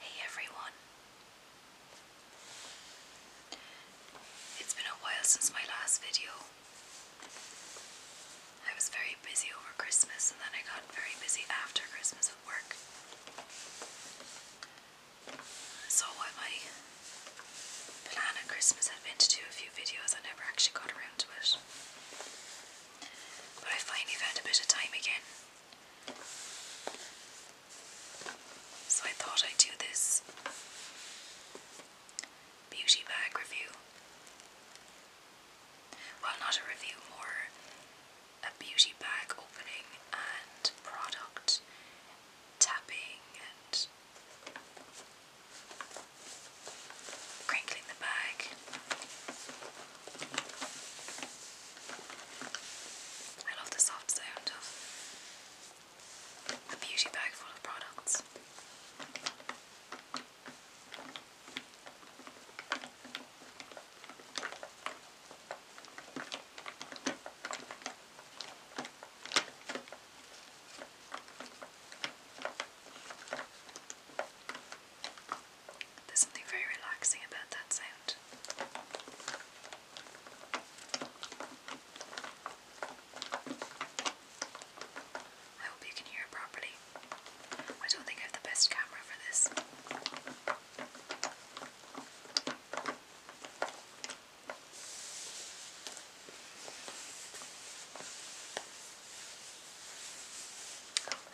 Hey everyone. It's been a while since my last video, I was very busy over Christmas, and then I got very busy after Christmas at work. So, my plan at Christmas had been to do a few videos, I never actually got around to it. But I finally found a bit of time again. So, I thought I'd do this beauty bag review. Well, not a review, more a beauty bag opening and product tapping and crinkling the bag. I love the soft sound of a beauty bag full of products. There's something very relaxing about that sound. I hope you can hear properly. I don't think I have the best camera for this. Oh,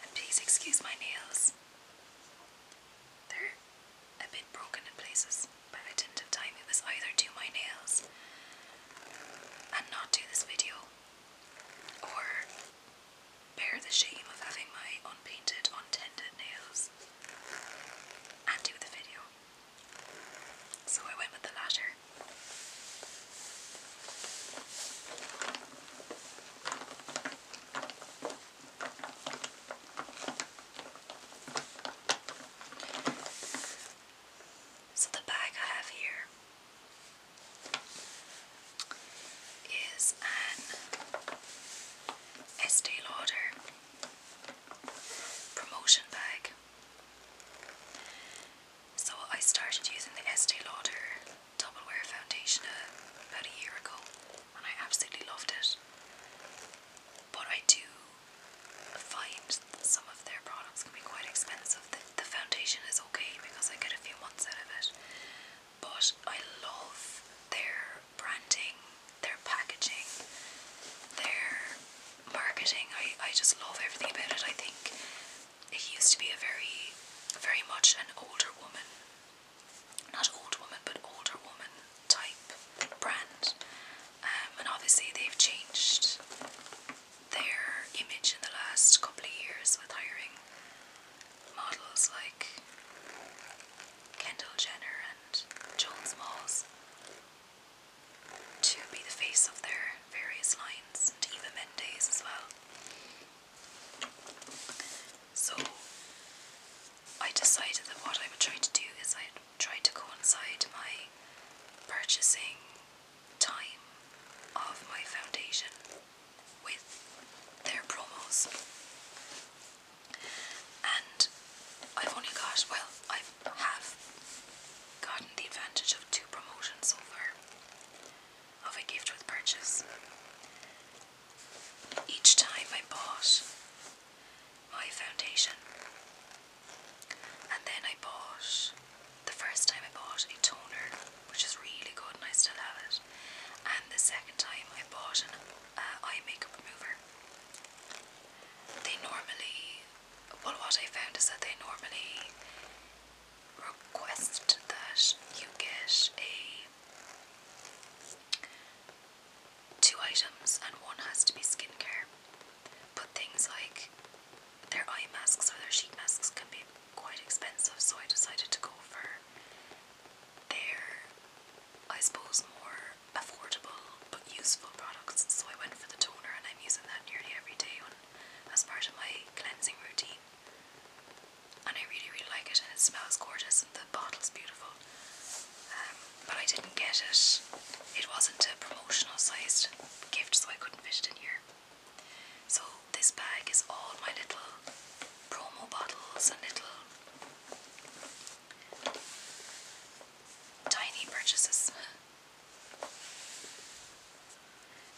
and please excuse my nails. They're a bit broken in places, but I didn't have time. It either do my nails and not do this video or bear the shame of having my unpainted, untended nails and do the video. So I went with the latter. So, the bag I have here is an Estee Lauder promotion bag. So, I started using the Estee Lauder Double Wear Foundation about a year ago and I absolutely loved it. But I do find that some of their products can be quite expensive. The, foundation is okay because I get a few months out of it, but I love their branding, their packaging, their marketing. I, I just love everything about it. I think it used to be a very, very much an older woman, not old woman, but older woman type brand. Um, and obviously they've changed their image in the last couple of years with hiring models like Kendall Jenner and Jones Smalls to be the face of their various lines and Eva Mendes as well. So I decided that what I would try to do is i tried to coincide my purchasing time of my foundation with their promos. And I've only got, well, I have gotten the advantage of two promotions so far of a gift with purchase. Each time I bought my foundation. And then I bought, the first time I bought a toner, which is really good and I still have it. And the second time I bought an uh, eye makeup remover. They normally, well what I found is that they normally request that you get a two items and one has to be skincare. But things like their eye masks or their sheet masks can be quite expensive, so I decided to go for their, I suppose, more affordable but useful products. So I went for the toner, and I'm using that nearly every day as part of my cleansing routine. And I really, really like it, and it smells gorgeous, and the bottle's beautiful. Um, but I didn't get it. It wasn't a promotional sized gift, so I couldn't fit it in here. So, this bag is all my little promo bottles and little tiny purchases.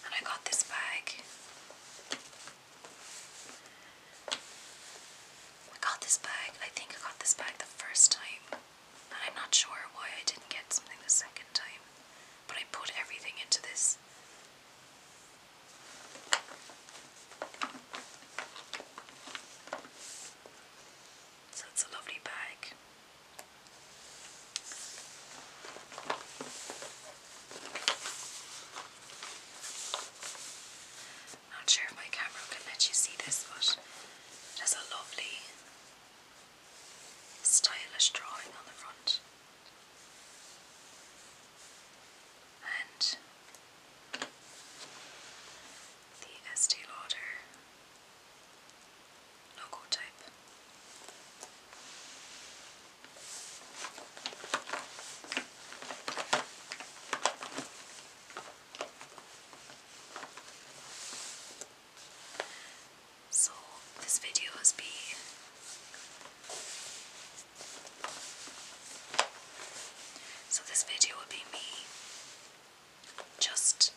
And I got this bag. I got this bag, I think I got this bag the first time I'm not sure why I didn't get something the second time, but I put everything into this. So it's a lovely bag. Not sure if my camera can let you see this, but it a lovely stylish drawing on the front. And the Estee Lauder logo type. So this video has be. so this video will be me just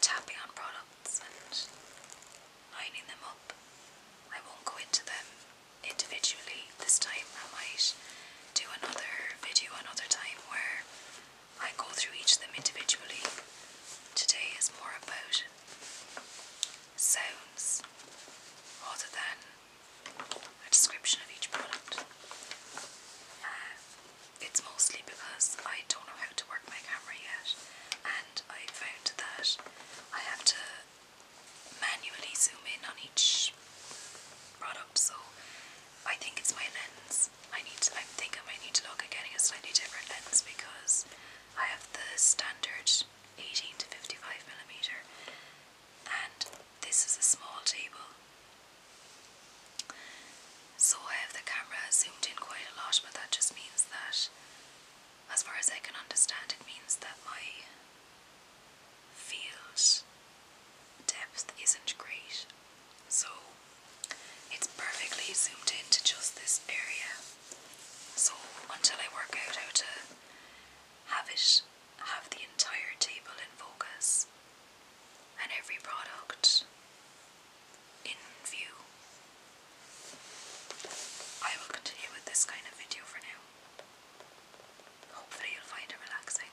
tapping on products and lining them up. I won't go into them individually this time. I might do another video another time where I go through each of them individually. Today is more about sounds rather than a description of each product. Uh, it's mostly because I don't know how to work my camera yet, and I found that I have to manually zoom in on each product, so I think it's my lens. I need to, I think I might need to look at getting a slightly different lens because I have the standard 18 to 55 millimeter, and this is a small table. So I have the camera zoomed in quite a lot, but that just means that, as far as I can understand, it means that my field depth isn't great, so it's perfectly zoomed into just this area. So until I work out how to have it have the entire table in focus and every product in view, I will continue with this kind of video for now. Hopefully, you'll find it relaxing.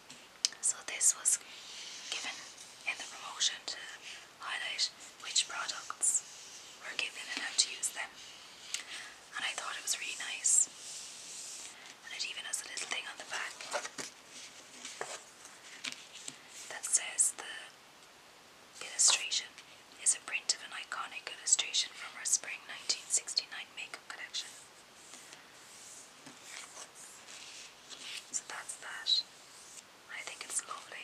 So this was given in the promotion to highlight which products were given and how to use them. And I thought it was really nice. And it even has a little thing on the back that says the illustration is a print of an iconic illustration from our spring 1969 makeup connection. So that's that. I think it's lovely.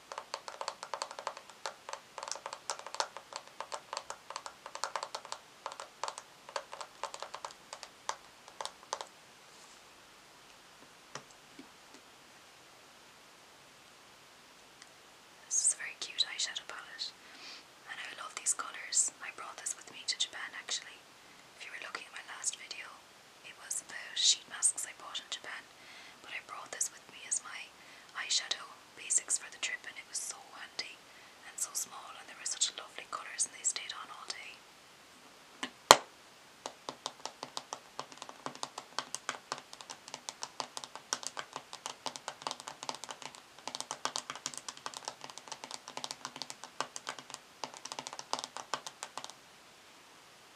This is a very cute eyeshadow palette, and I love these colours. I brought this with me to Japan actually. If you were looking at my last video, it was the sheet masks I bought in Japan, but I brought this with me as my eyeshadow basics for the trip, and it was so handy and so small, and there were such lovely colours, and they stayed on all day.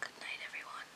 Good night, everyone.